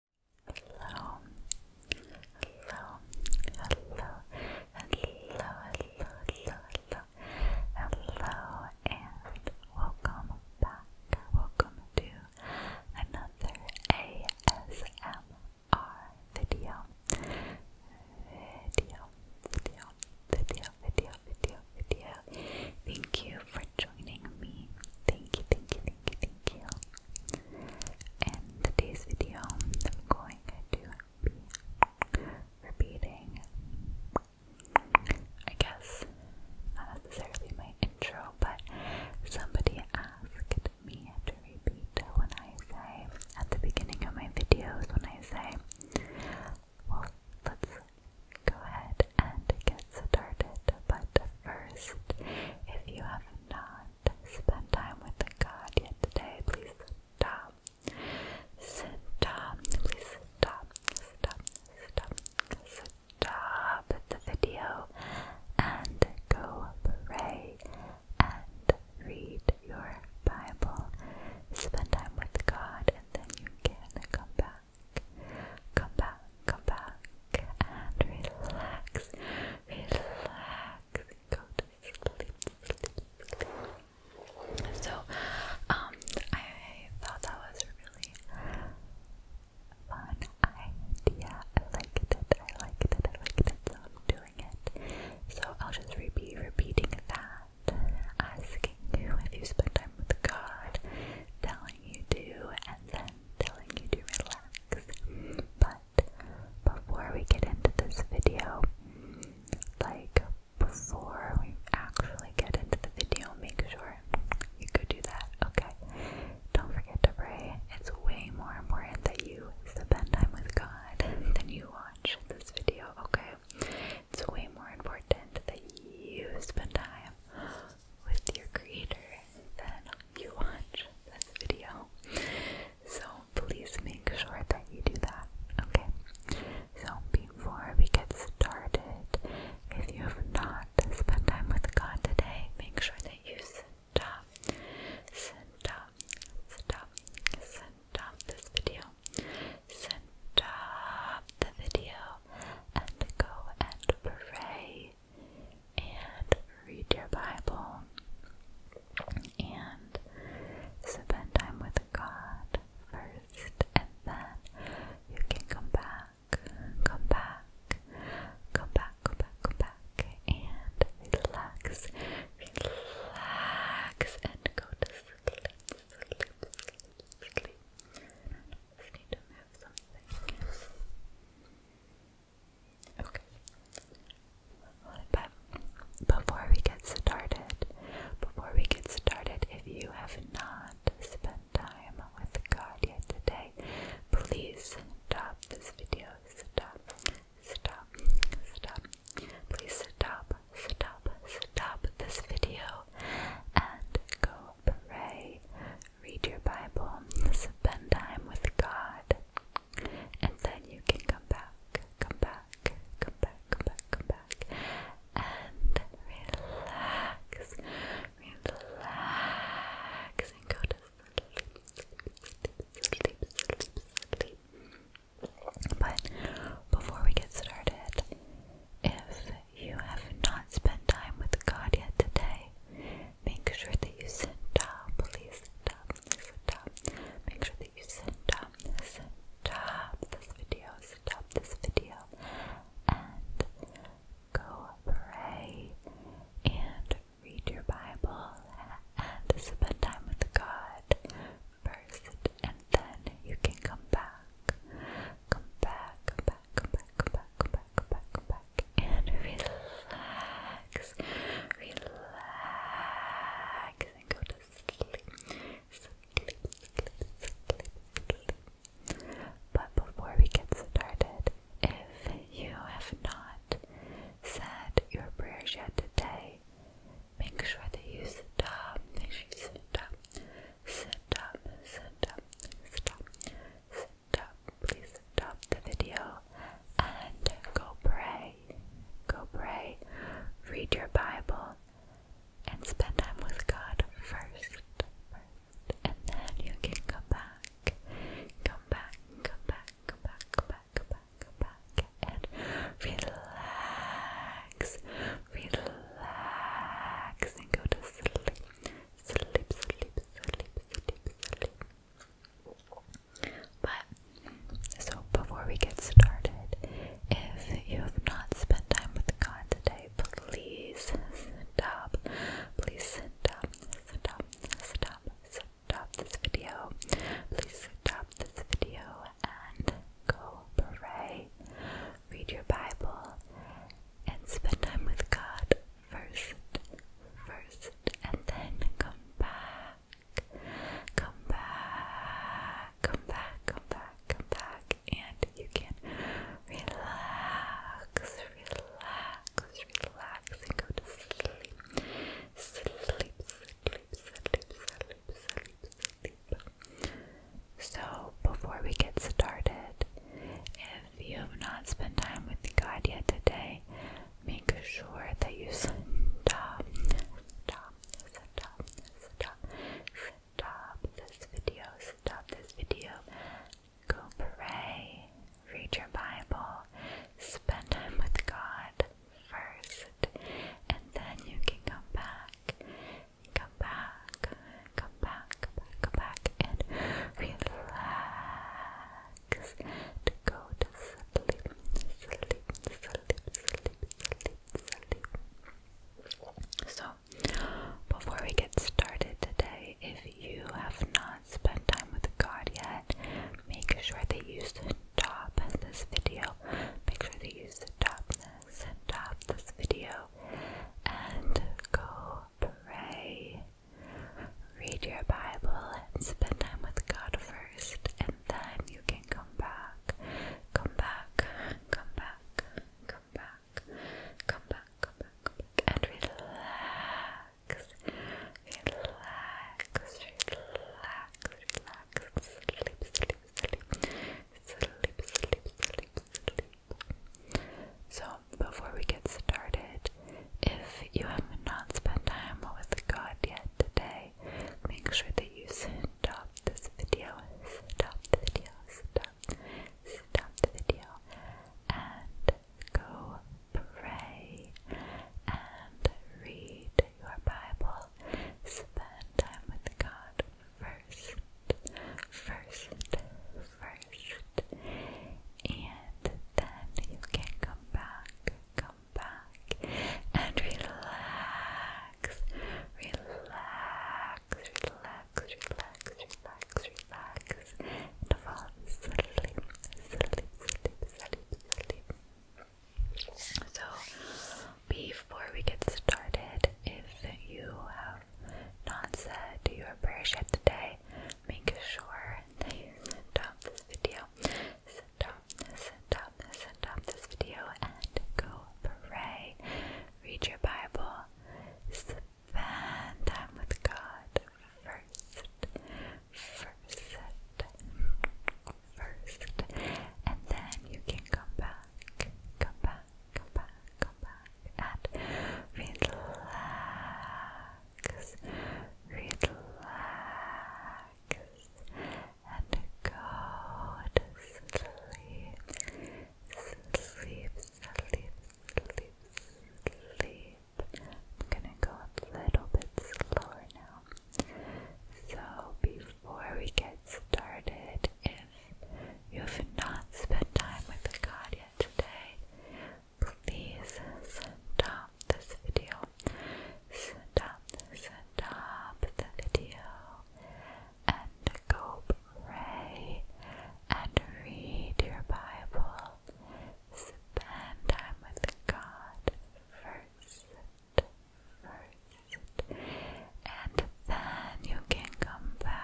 Hello, hello, hello, hello, hello, hello, hello, and welcome back. Welcome to another ASMR video. Video, video, video, video, video, video. Thank you for joining me. Thank you, thank you, thank you, In today's video, I'm going to be repeating, I guess, not necessarily my intro, but somebody asked me to repeat when I say at the beginning of my videos when I say, well, let's go ahead and get get started, but first, if you have not spent time with the god yet today, please stop. Stop, please stop, stop, stop, stop the video and go pray and read your Bible. Spend time with God and then you can come back. Come back, come back and relax, relax, go to sleep, sleep, sleep. So, um, I thought that was a really fun idea. I liked it, I liked it, I liked it, so I'm doing it. So I'll just be repeating that, asking you if you spend time with God, telling you to, and then telling you to relax. But before we get into this video, like before we actually get into the video, make sure you go do that, okay? Don't forget to pray. It's way more important that you spend time with God than you watch this video, okay? It's way more important that you spend time with your creator than you watch this video. So please make sure that you do that, okay? So before we get started, if you have not spent time with God today, make sure that you send up, send up, send up, send up this video, send up the video, and go and pray and read your Bible and spend time with God first, and then you can come back, come back, come back, come back, come back, and relax, relax, and go to sleep, sleep. If you have Okay. But before we get started, before we get started, if you have not spent time with God yet today, please stop this video. Stop, stop, stop. Please stop, stop, stop this video and go pray, read your Bible, spend time with God, and then you can come back, come back, come back, come back, come back, and relax, relax, and go to sleep, sleep, sleep, sleep, sleep. But before we get started, if you have not spent time with God yet today, make sure that you sit up, please sit up, send up. Make sure that you sit up, send up this video, send up this video, and go pray and read your Bible and spend time with God first, and then you can come back. Come back, come back, come back, come back, come back, come back, come back, and relax, relax, and go to sleep, sleep, sleep, sleep, sleep. But before we get started, if you have not said your prayers yet today, make sure that you sit up, make sure sit up, sit up, sit up, sit up stop, please stop the video and go pray. Go pray, read your Bible, and spend time with God first. and then you can come back, come back, come back, come back, come back, come back, come back, and relax, relax, and go to sleep, but so before we get started, if you have not spent time with God today, please stop. Please stop, stop, stop, stop this video. Please stop this video and go pray read your Bible, and spend time with God first, first, and then come back, come back, come back, come back, come back, and you can relax, relax, relax, and go to sleep, sleep, sleep, sleep, sleep, sleep, sleep. So, before we get started, if you have not spent time with God yet today, make sure that you stop, stop, stop, stop, stop this video, stop this video, go pray, read your Bible, spend time with God first, and then you can come back come back, come back, come back, come back, and relax to go to sleep, sleep, sleep, sleep, sleep, sleep. So, before we get started today, if you have not spent time with God yet, make sure that you stop this video. Make sure that you stop this, stop this video, and go pray. Read your Bible and spend time with God first, and then you can come back. Come back, come back, come back, come back, come back, and relax. Relax, relax, relax. Sleep, sleep, sleep. Sleep, sleep, sleep, sleep, sleep. So, before we get started, if you have not spent time with God yet today, make sure that you stop this video, stop the video, stop, stop the video, and go pray and read your Bible. Spend time with God, first, first, first, and then you can come back, come back, and relax, relax, relax, relax, relax, relax, and fall asleep, sleep, sleep, sleep, sleep. So, before we get started, if you have have Do said prayer appreciate today, make sure you send up this video, send up, send up, send up this video, and go pray, read your Bible, spend time with God first, first, first, and then you can come back, come back come back, come back, and relax, relax, and go to sleep, sleep, sleep, sleep, sleep. I'm gonna go a little bit slower now. So, before we get started, you have not spent time with the God yet today, please stop this video. Stop, stop the video and go pray and read your Bible. Spend time with God first, first, and then you can come back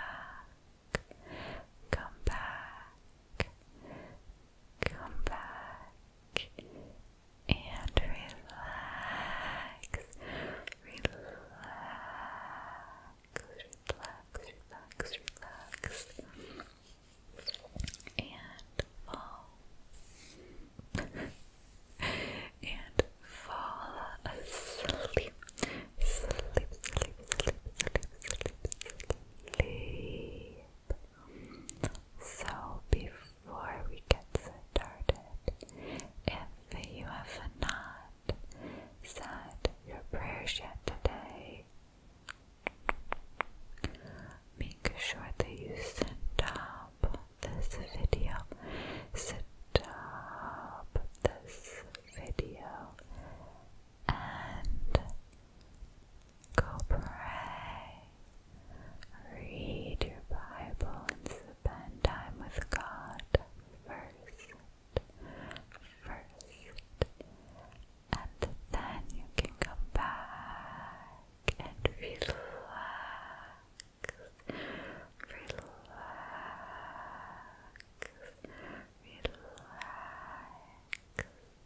come back, come back, and relax, relax, relax, relax, relax, and fall. and fall asleep. Sleep, sleep, sleep, sleep, sleep, sleep. So before we get started, if you have not said your prayers yet today, make sure that you stop this video. Stop this video and go pray. Read your Bible and spend time with God first. First. And then you can come back and relax. Relax relax,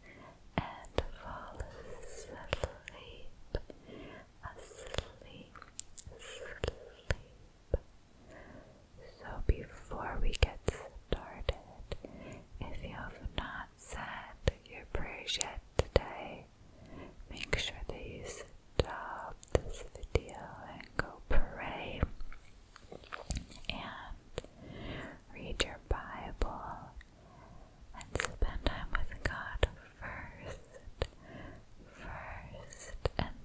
and fall asleep, asleep, asleep. So before we get started, if you have not said your prayers yet today, make sure these stop this video and go pray and read your Bible and spend time with God first, first, and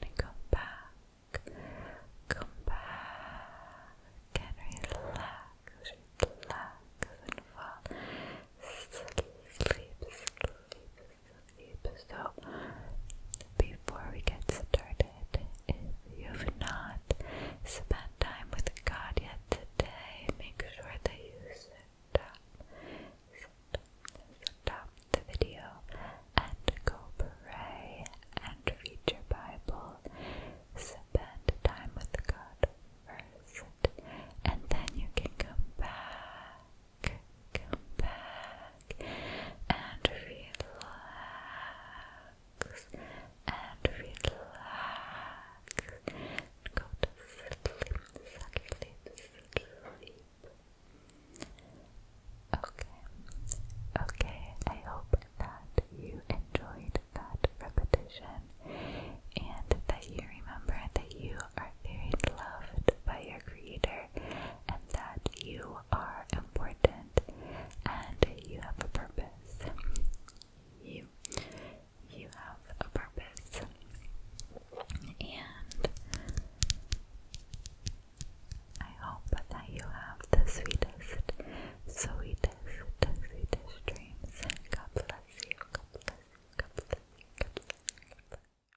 then come back, come back and relax, relax and fall asleep, sleep, sleep. So, before we get started, if you've not spent time with God yet today, make sure that you sit up, stop the video, and go pray and read your Bible. Spend time with God first, and then you can come back come back and relax and relax and go to sleep, sleep, sleep. Okay, okay, I hope that you enjoyed that repetition and that you remember that you are are loved by your Creator and that you are important and you have a purpose. You, you have a purpose. And I hope that you have the sweetest, sweetest, sweetest dreams. God God bless you.